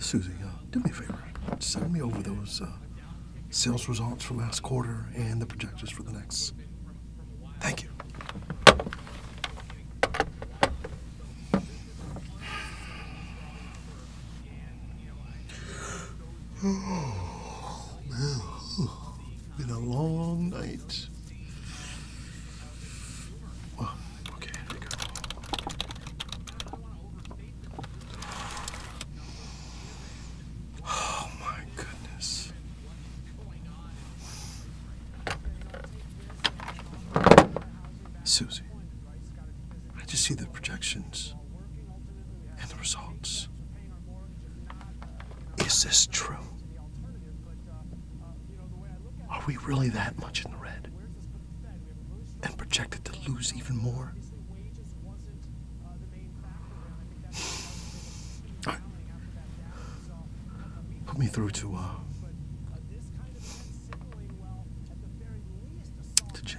Susie, uh, do me a favor. Send me over those uh, sales results for last quarter and the projections for the next. Thank you. Oh, man. been a long night. Oh, my goodness. Susie, I just see the projections and the results. Is this true? Are we really that much in the red and projected to lose even more? Put me through to uh, to Jim.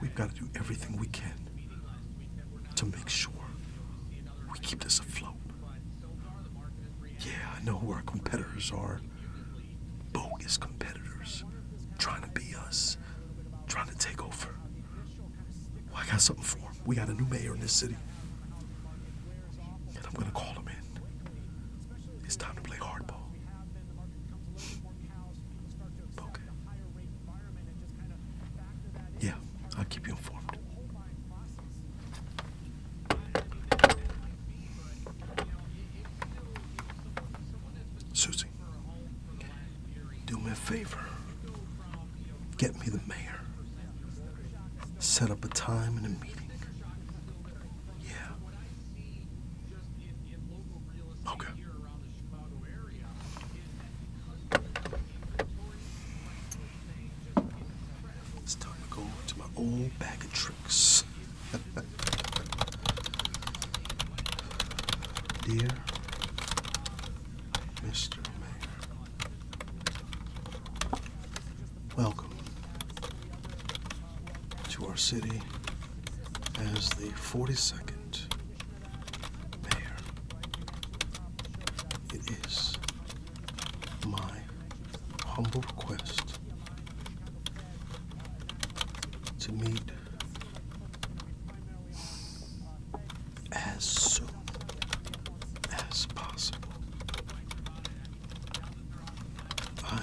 We've got to do everything we can to make sure we keep this afloat. Yeah, I know who our competitors are. Bogus competitors trying to be us, trying to take over. I got something for him. We got a new mayor in this city. And I'm going to call him in. It's time to play hardball. Okay. Yeah, I'll keep you informed. Susie, do me a favor. Get me the mayor. Set up a time and a meeting. Yeah, Okay. It's time to go to my old bag of tricks. Dear Mr. Mayor, welcome to our city as the 42nd mayor. It is my humble request to meet as soon as possible. I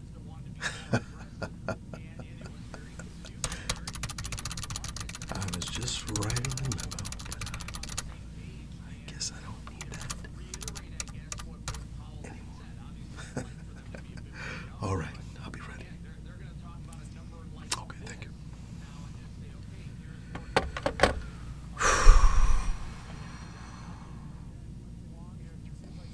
I was just right in the memo, I guess I don't need that anymore. All right, I'll be ready. Okay, thank you.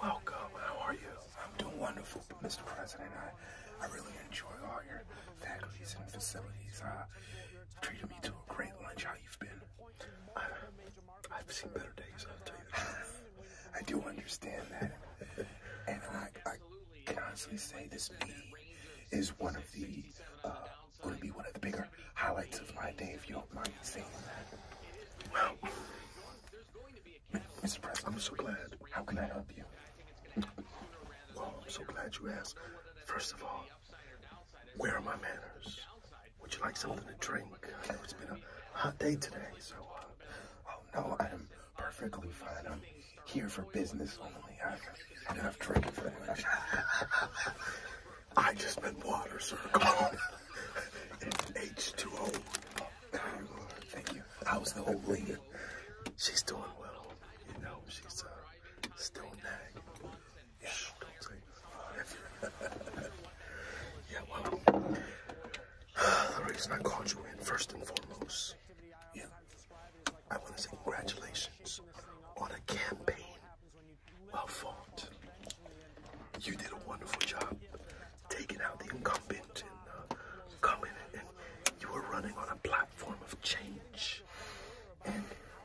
Welcome. How are you? I'm doing wonderful, Mr. President. I, I really enjoy all your faculties and facilities. Uh, treated me to a great lunch. How you've been? Uh, I, have seen better days. I'll tell you that. I do understand that, and I, I can honestly say this meeting is one of the uh, going to be one of the bigger highlights of my day. If you don't mind saying that. Well, Mr. Press, I'm so glad. How can I help you? Well, I'm so glad you asked. First of all, where are my manners? Would you like something to drink? I know it's been a hot day today, so, uh, oh no, I am perfectly fine. I'm here for business only. I, have drinking for that much. I just meant water, sir. Come on. It's H2O. I was the old lady? She's doing well. You know, she's uh, still nagging. Yeah, Yeah, well, the reason I called you in, first and foremost, yeah, I want to say congratulations on a campaign well fought. You did a wonderful job taking out the incumbent and uh, coming in, you are running on a platform of change and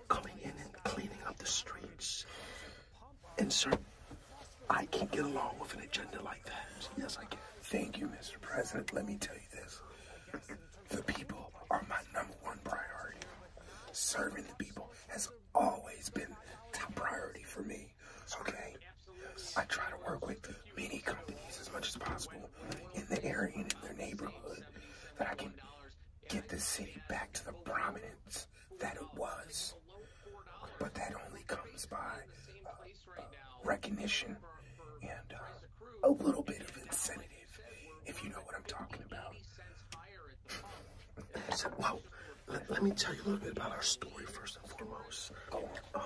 coming in and cleaning up the streets. And sir, I can get along with an agenda like that. Yes, I can. Thank you, Mr. President. Let me tell you this. The people are my number one priority. Serving the people has always been top priority for me okay? I try to work with many companies as much as possible in the area and in their neighborhood that I can get the city back to the prominence that it was. But that only comes by uh, recognition and uh, a little bit of incentive, if you know what I'm talking about. I said, well, let, me tell you a little bit about our story first and foremost. Um,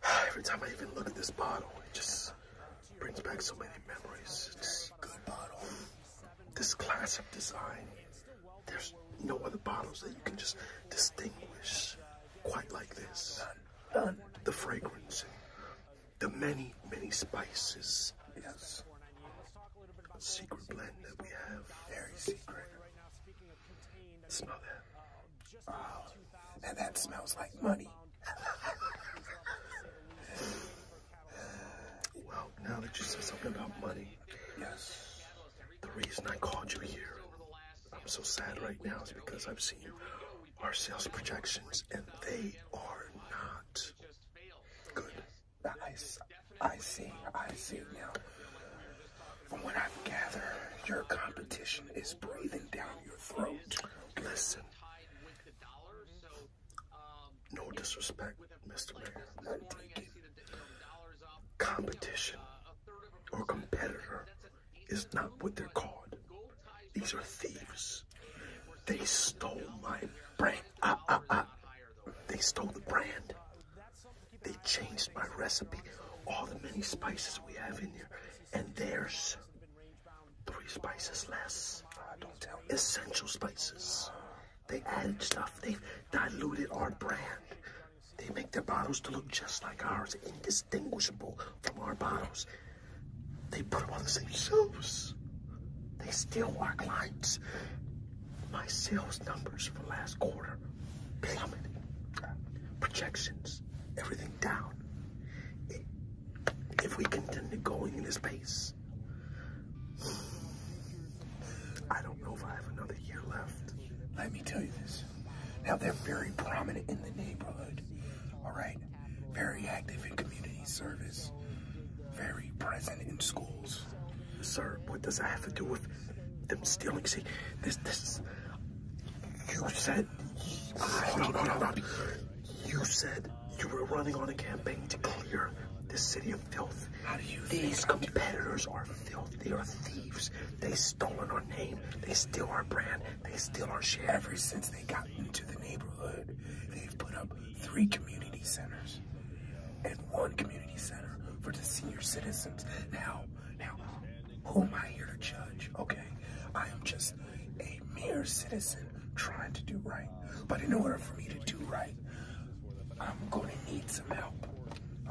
every time I even look at this bottle, it just brings back so many memories. It's a good bottle. This classic design, there's no other bottles that you can just distinguish quite like this. None. The fragrance, the many, many spices is secret blend that we have. Very secret. Smell that. Oh, and that smells like money. well, now that you said something about money, yes. The reason I called you here, I'm so sad right now, is because I've seen our sales projections and they are not good. I, I see, I see now. From what I've gathered, your competition is breathing down your throat. Listen. No disrespect, Mr. Mayor. None taken. Competition or competitor is not what they're called. These are thieves. They stole my brand they stole the brand. They changed my recipe. All the many spices we have in here, and there's three spices less. Essential spices. They added stuff. they diluted our brand. They make their bottles to look just like ours, indistinguishable from our bottles. They put them on the same shelves. They steal our clients. My sales numbers for last quarter plummet. Projections, everything down. if we continue going in this pace, I don't know if I have another year left. Let me tell you this. Now, they're very prominent in the neighborhood, all right? very active in community service, very present in schools. Sir, what does that have to do with them stealing? See, this, this, you said, hold on, hold on, You said you were running on a campaign to clear the city of filth. These competitors are filth. They are thieves. They stolen our name. They steal our brand. They steal our share. Ever since they got into the neighborhood, they've put up three community centers and one community center for the senior citizens. Now, now, who am I here to judge? Okay, I am just a mere citizen trying to do right. But in order for me to do right, I'm going to need some help.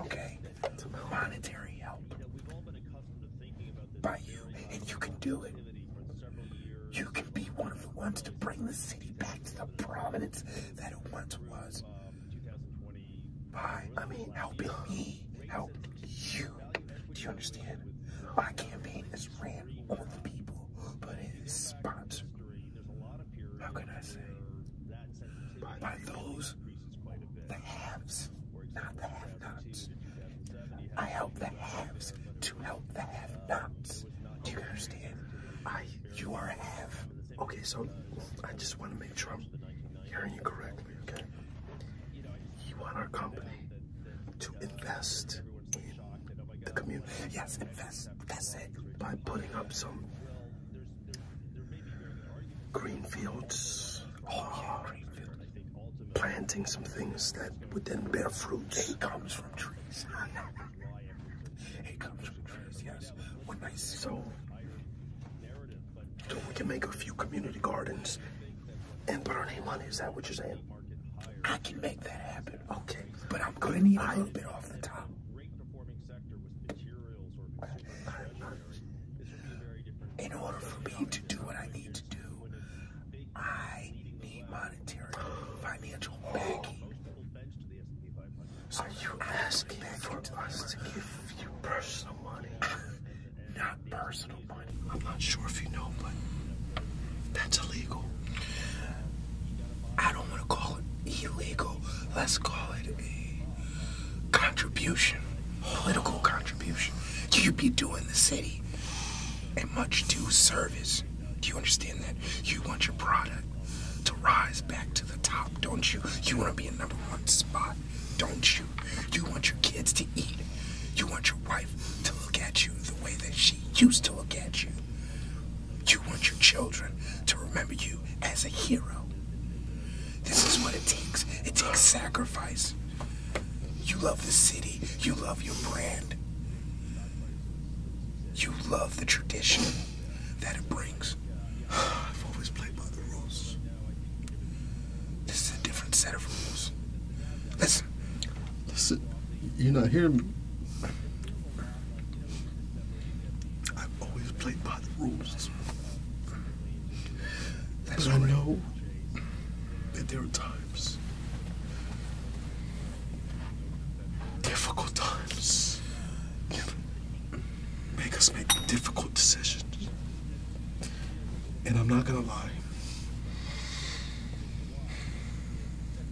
Okay, some monetary help by you, and you can do it. You can be one of the ones to bring the city back to the prominence that it once was. Um, By, I mean, helping me help you. Do you understand? My campaign is ran on the people, but it is sponsored. How can I say? By those, the haves, not the have-nots. I help the haves to help the have nots nuts. Do you understand? I, you are a half. Okay, so I just want to make sure I'm hearing you correctly, okay? You want our company to invest in the community. Yes, invest. That's it. By putting up some green fields. Oh, planting some things that would then bear fruit trees. it comes from trees, yes. When I see so, so we can make a few community gardens and put our name on it. Is that what you're saying? I can make that happen. Okay, but I'm gonna need a little bit off the top. In order for me to do what I need to do, I need monetary financial backing. So you asking for us to give you personal money? not personal money. I'm not sure if you know, but that's illegal. I don't want to call it illegal. Let's call it a contribution, political contribution. you be doing the city a much due service. Do you understand that? You want your product to rise back to the top, don't you? You want to be in number one spot, don't you? You want your kids to eat. You want your wife to look at you the way that she used to look at you. You want your children to remember you as a hero. This is what it takes. It takes sacrifice. You love the city. You love your brand. You love the tradition that it brings. I've always played by the rules. This is a different set of rules. Listen. Listen, you're not hearing me. I've always played by the rules. That's I know that there are times. Difficult times make us make difficult decisions. And I'm not gonna lie,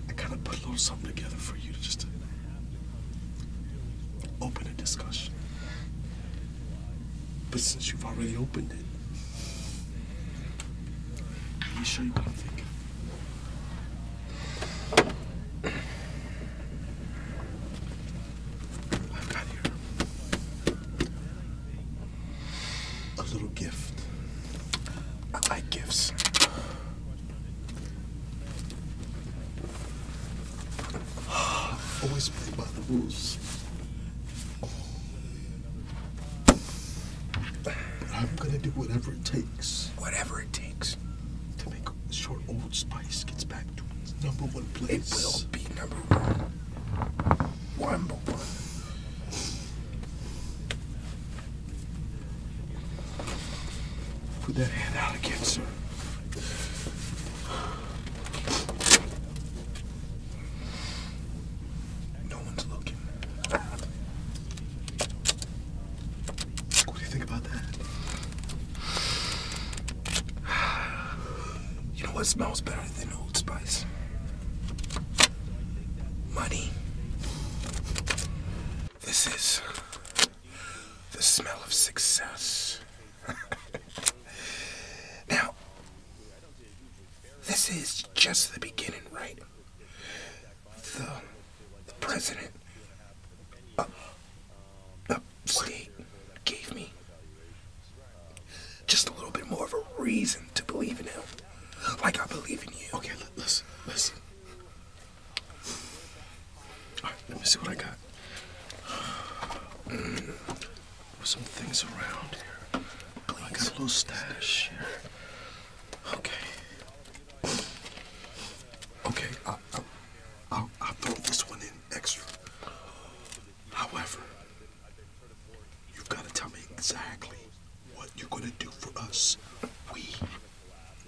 I kind of put a little something together for you to just open a discussion. But since you've already opened it, He's shaped, I think. I've got here a little gift. I like gifts. Always play by the rules. I'm gonna do whatever it takes. Whatever it takes. To make sure Old Spice gets back to its number one place. It will be number one. One one. Put that hand out again, sir. No one's looking. What do you think about that? You know what smells better than Old Spice? Money. This is the smell of success. now, this is just the beginning, right? The, the president up, upstate gave me just a little bit more of a reason to believe in him. Like I believe in you. Okay, listen, listen. All right, let me see what I got. Mm some things around here. Please. I got a little stash here. Okay. Okay, I'll, i throw this one in extra. However, you've got to tell me exactly what you're going to do for us. We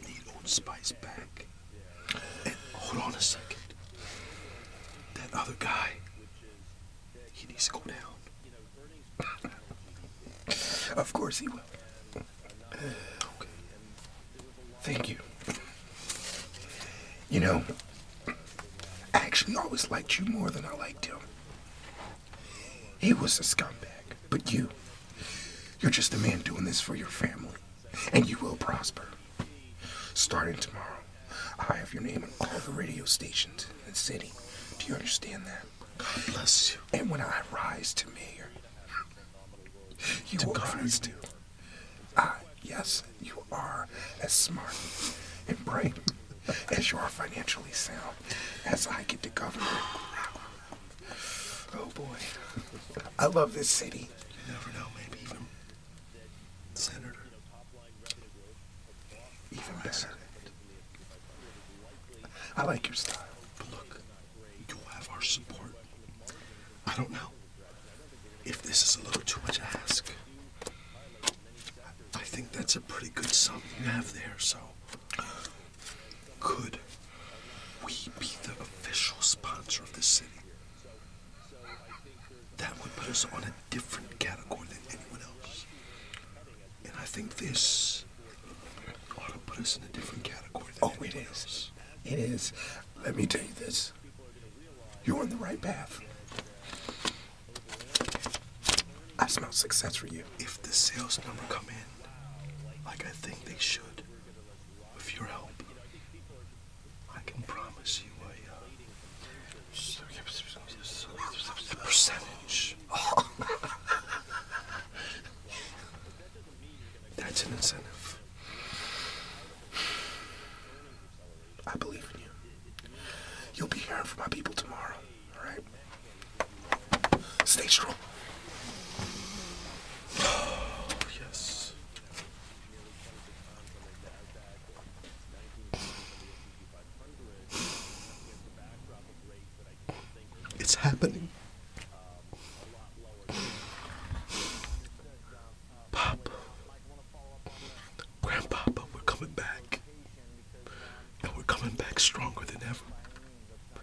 need Old Spice back. And hold on a second. That other guy, he needs to go down of course he will. Thank you. You know, I actually always liked you more than I liked him. He was a scumbag, but you, you're just a man doing this for your family, and you will prosper. Starting tomorrow, I have your name on all the radio stations in the city. Do you understand that? God bless you. And when I rise to mayor, you to will God rise too. Ah, yes, you are as smart and bright as you are financially sound as I get to governor, Oh boy. I love this city. You never know, maybe even Senator. Even it. I like your style. But look, you'll have our support. I don't know if this is a little too much to ask. I think that's a pretty good sum you have there, so could we be the official sponsor of the city? that would put us on a different category than anyone else. And I think this ought to put us in a different category oh, it is. It is. Let me tell you this. You're on the right path. I smell success for you. If the sales number come in, like I think they should, with your help, I can promise you a, uh, Percentage. That's an incentive. I believe in you. You'll be hearing from my people tomorrow, alright? Stay strong. Oh, yes. It's happening. Papa, Grandpapa, we're coming back. And we're coming back stronger than ever.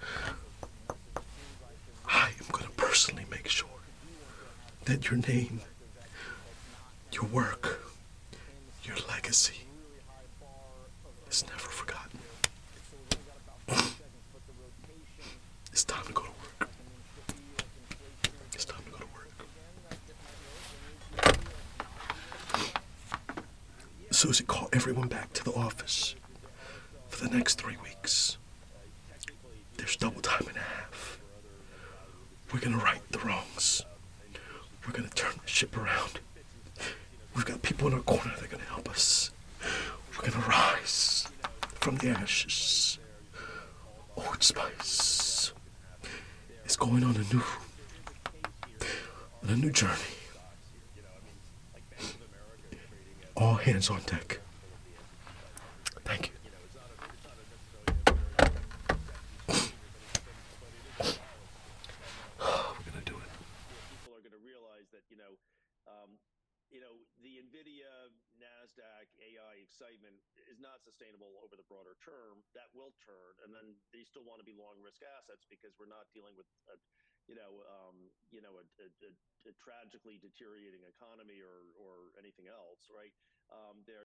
I am going to personally make sure that your name your work, your legacy is never forgotten. it's time to go to work. It's time to go to work. Susie called everyone back to the office for the next three weeks. There's double time and a half. We're gonna right the wrongs. We're gonna turn the ship around. We've got people in our corner that are gonna help us. We're gonna rise from the ashes. Old Spice is going on a new, on a new journey. All hands on deck. Thank you. We're gonna do it. People are gonna realize that you know, um, you know, the Nvidia, Nasdaq, AI excitement is not sustainable over the broader term. That will turn, and then they still want to be long risk assets because we're not dealing with. A, you know, um, you know, a, tragically deteriorating economy or or anything else, right? Um, there.